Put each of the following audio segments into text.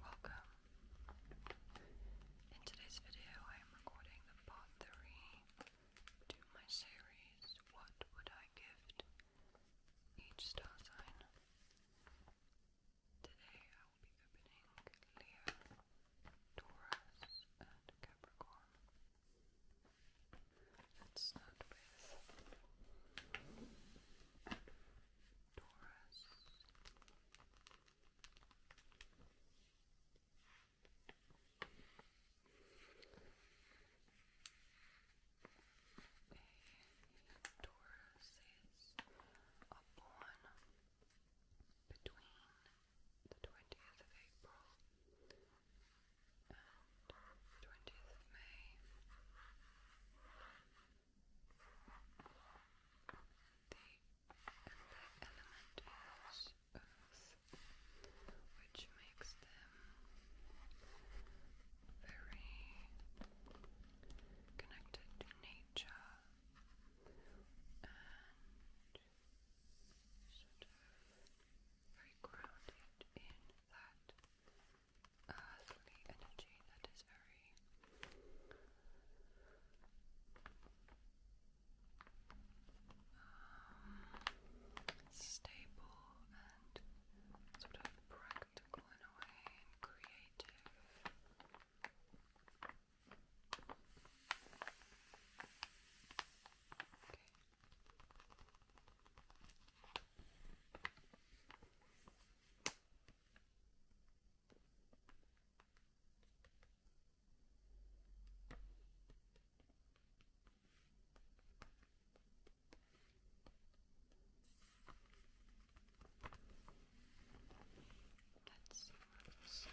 Welcome. In today's video, I am recording the part 3 to my series, What Would I Gift Each Star Sign. Today, I will be opening Leo, Taurus, and Capricorn. Let's start with Taurus. A Taurus is a born between the 20th of April and 20th of May the element is earth, which makes them very connected to nature and sort of very grounded in that earthly energy that is very um, stable and sort of practical in a way and creative. Let's see on this side.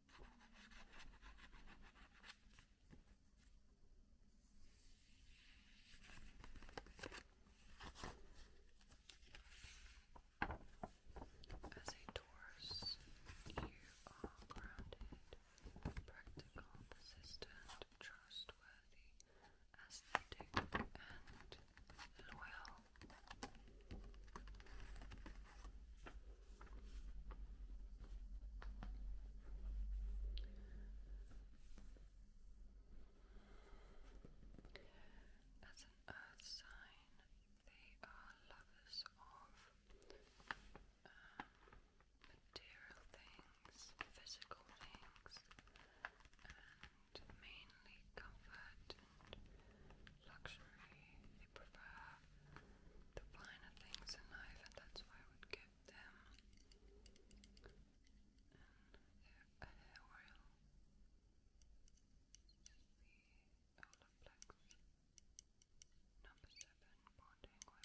As a Taurus, you are grounded, practical, persistent, trustworthy, aesthetic, and loyal. As an earth sign, they are lovers of uh, material things, physical things, and mainly comfort and luxury. They prefer the finer things in life, and that's why I would give them and a hair oil. The Olaplex number seven bonding oil.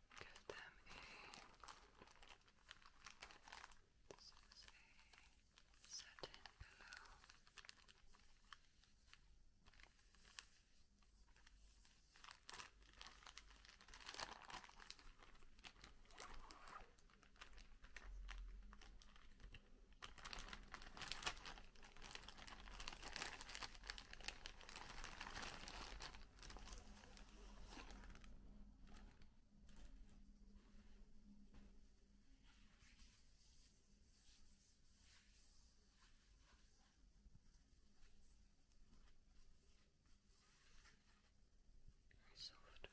get them a this is a satin pillow. This Soft.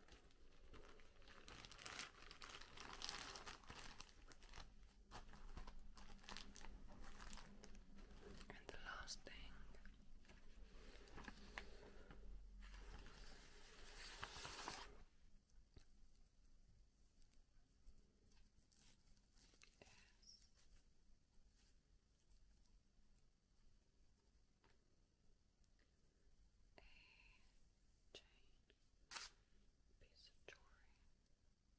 And the last thing Yes. A chain, piece of jewelry,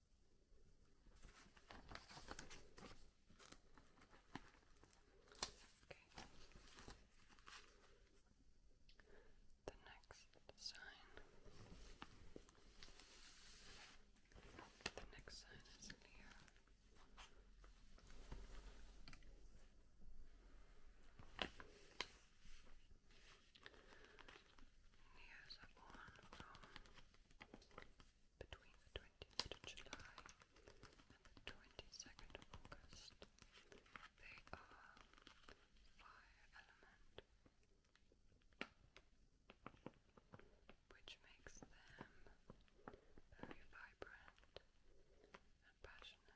The next sign. The next sign is in here. Here's a one from between the 20th of July and the 22nd of August. They are fire element, which makes them very vibrant and passionate.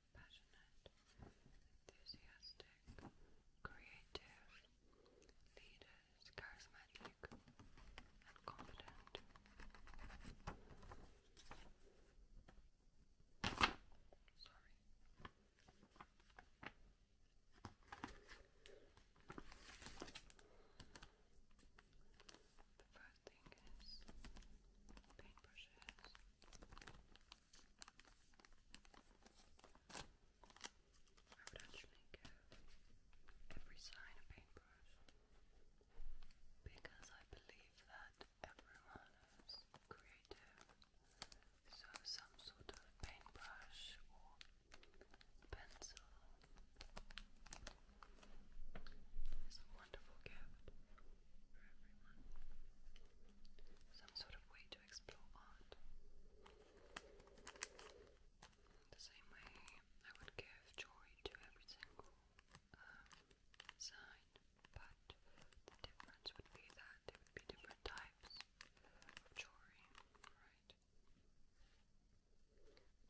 passionate, enthusiastic, creative, leaders, charismatic, and confident. Sorry thing is paintbrushes. I would actually give every sign a paintbrush because I believe that everyone is creative. So, some sort of paintbrush or pencil it is a wonderful gift for everyone. Some sort of way to explore art. The same way I would give jewelry to every single um, sign, but the difference would be that there would be different types of jewelry, right?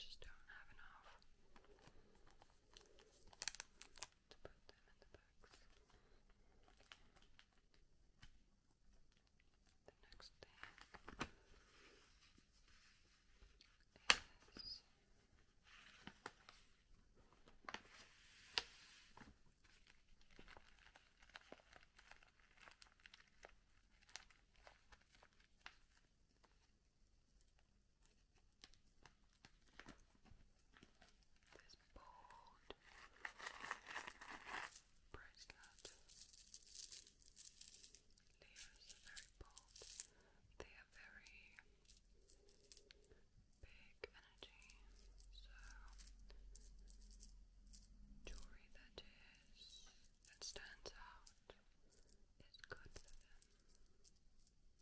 Just don't have enough to put them in the box. The next thing is this bold bracelet. Leos are very bold. They are very big energy. So jewelry that is that stands out is good for them.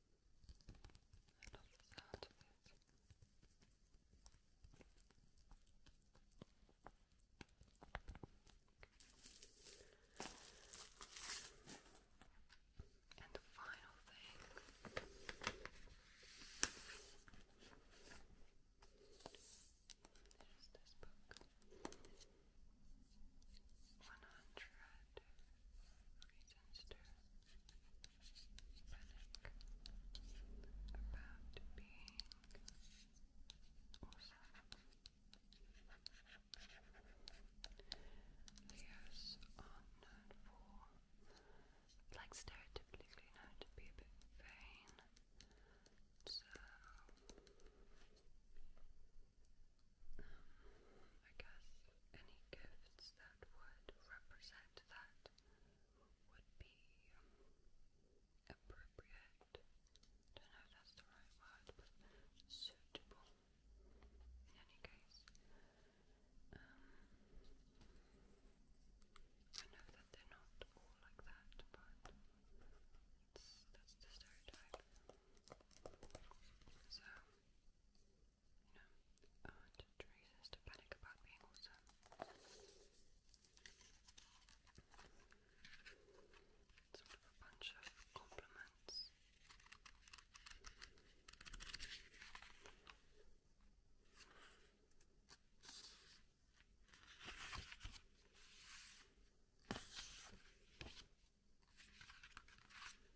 I love the sound of it. And the final thing is this book. 100 Sinister panic about being awesome. Leos are known for, like stereotypically known to be a bit vain, so um, I guess any gifts that would represent that would be appropriate. Don't know if that's the right word, suitable. In any case, um, I know that they're not all like that, but that's the stereotype. So, no. And Teresa's to panic about being awesome. Sort of a bunch of compliments.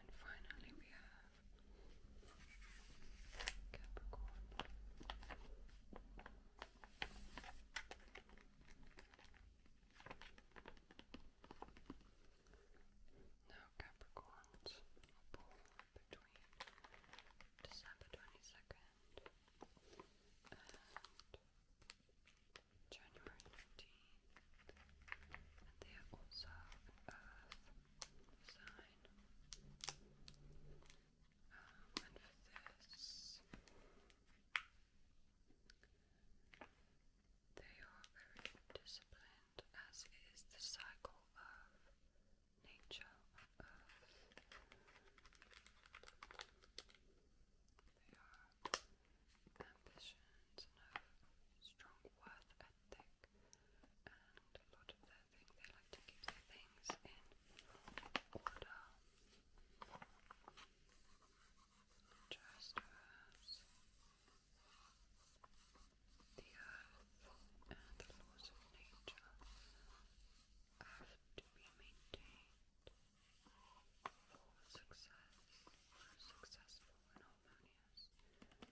And finally, we have Capricorn. Now, Capricorns are born between December 22nd January 19th, and they are also an sign. and for this, they are very disciplined, as is the cycle of nature on They are ambitions and have strong worth ethic and a lot of their things, they like to keep their things in order just as the earth and the laws of nature have to be maintained success or successful and harmonious existence.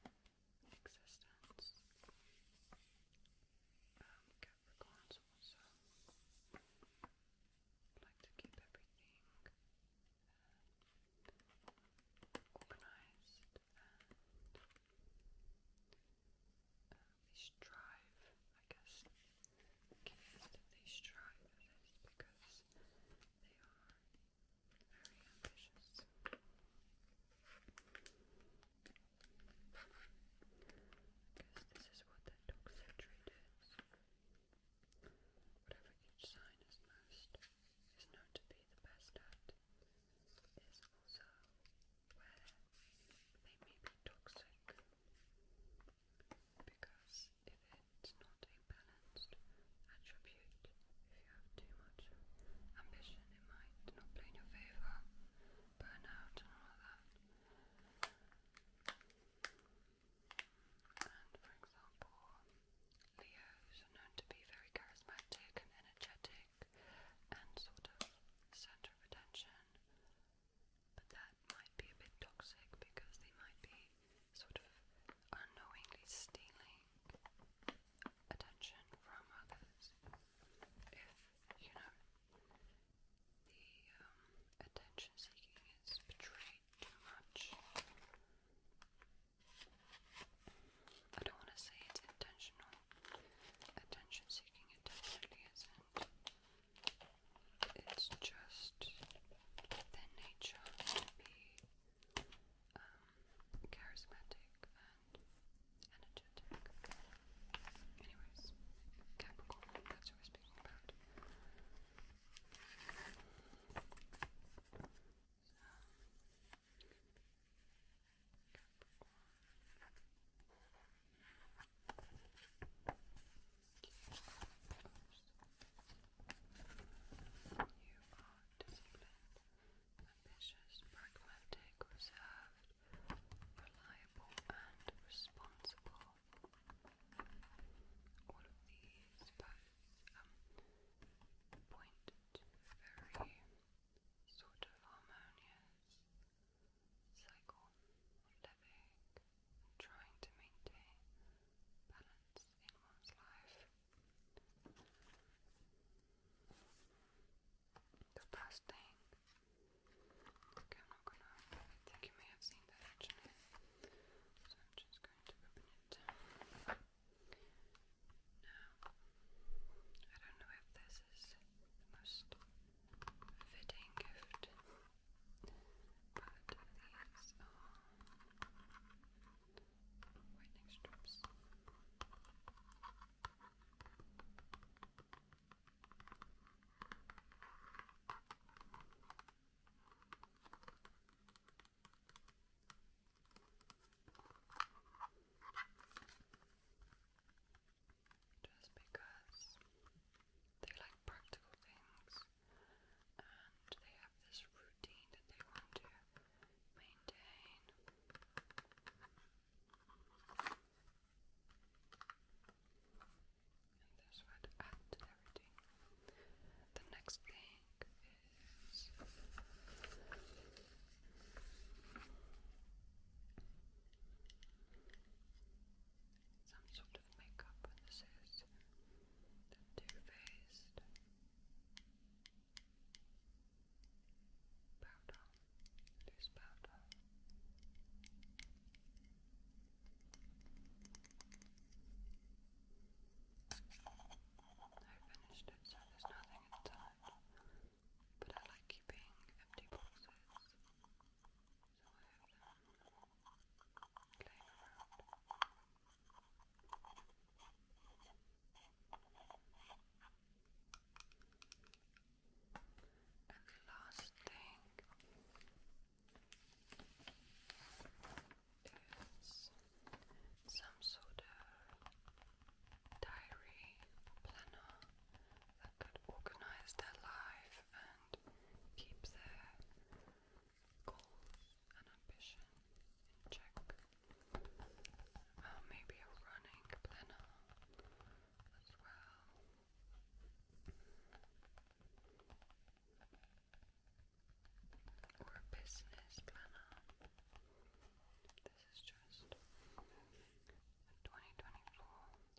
Capricorns also like to keep everything organized and they strive, I guess, they strive at this because because they are very ambitious. Because this is what that dog surgery Whatever each sign is most is known to be the best at is also where they may be toxic. Because if it's not a balanced attribute, if you have too much ambition, it might not play in your favour, burn out, and all of that. And for example, Leos are known to be very charismatic and energetic and sort of centre of attention, but then might be a bit toxic because they might be sort of unknowingly stealing attention from others. If, you know, the um, attention seeking is betrayed too much. I don't want to say it's intentional. Attention seeking, definitely is it's just their nature to be um, charismatic and energetic. Anyways, Capricorn, that's what we're speaking about. You are disciplined, ambitious, pragmatic, reserved, reliable, and responsible. All these both point to very sort of harmonious cycle pandemic, trying to maintain balance in one's life. The last thing, okay, I'm not gonna, I think you may have seen that actually, so I'm just going to open it. Now, I don't know if this is the most fitting gift Put these on whitening strips. Just because they like practical things, and they have this routine that they want to maintain. And that's what added to everything. The next thing is some of makeup this is Too Faced powder, loose powder. I finished it, so there's nothing inside. But I like keeping empty boxes, so I have them playing around. the last thing is some sort of diary planner that could organize their life and keep their goals and ambition in check. Uh, maybe a running planner as well. Or a business planner. This is just 2024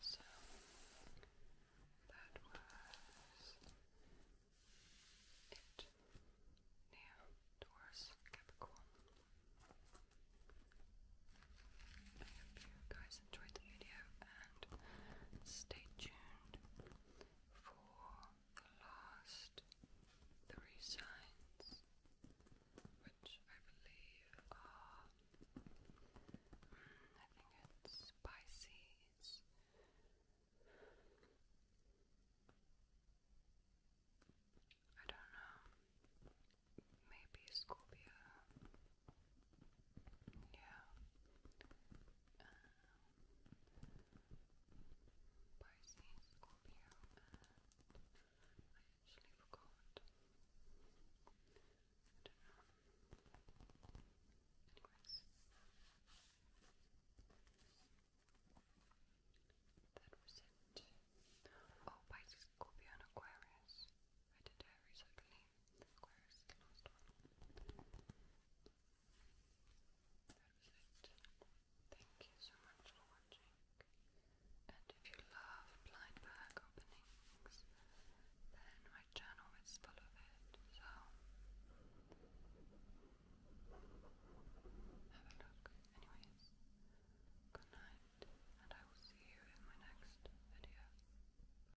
So that was it. Now, Taurus, Capricorn. I hope you guys enjoyed the video and stay tuned for the last three signs, which I believe are mm, I think it's Pisces. I don't know. Maybe Scorpio. Yeah. Um, Pisces, Scorpio, and That was it. Oh, Pisces, Scorpio, Aquarius. I did Aquarius the last one. That was it. Thank you so much for watching. And if you love blind bag openings, then my channel is full of it. So have a look. Anyways, good night, and I will see you in my next video.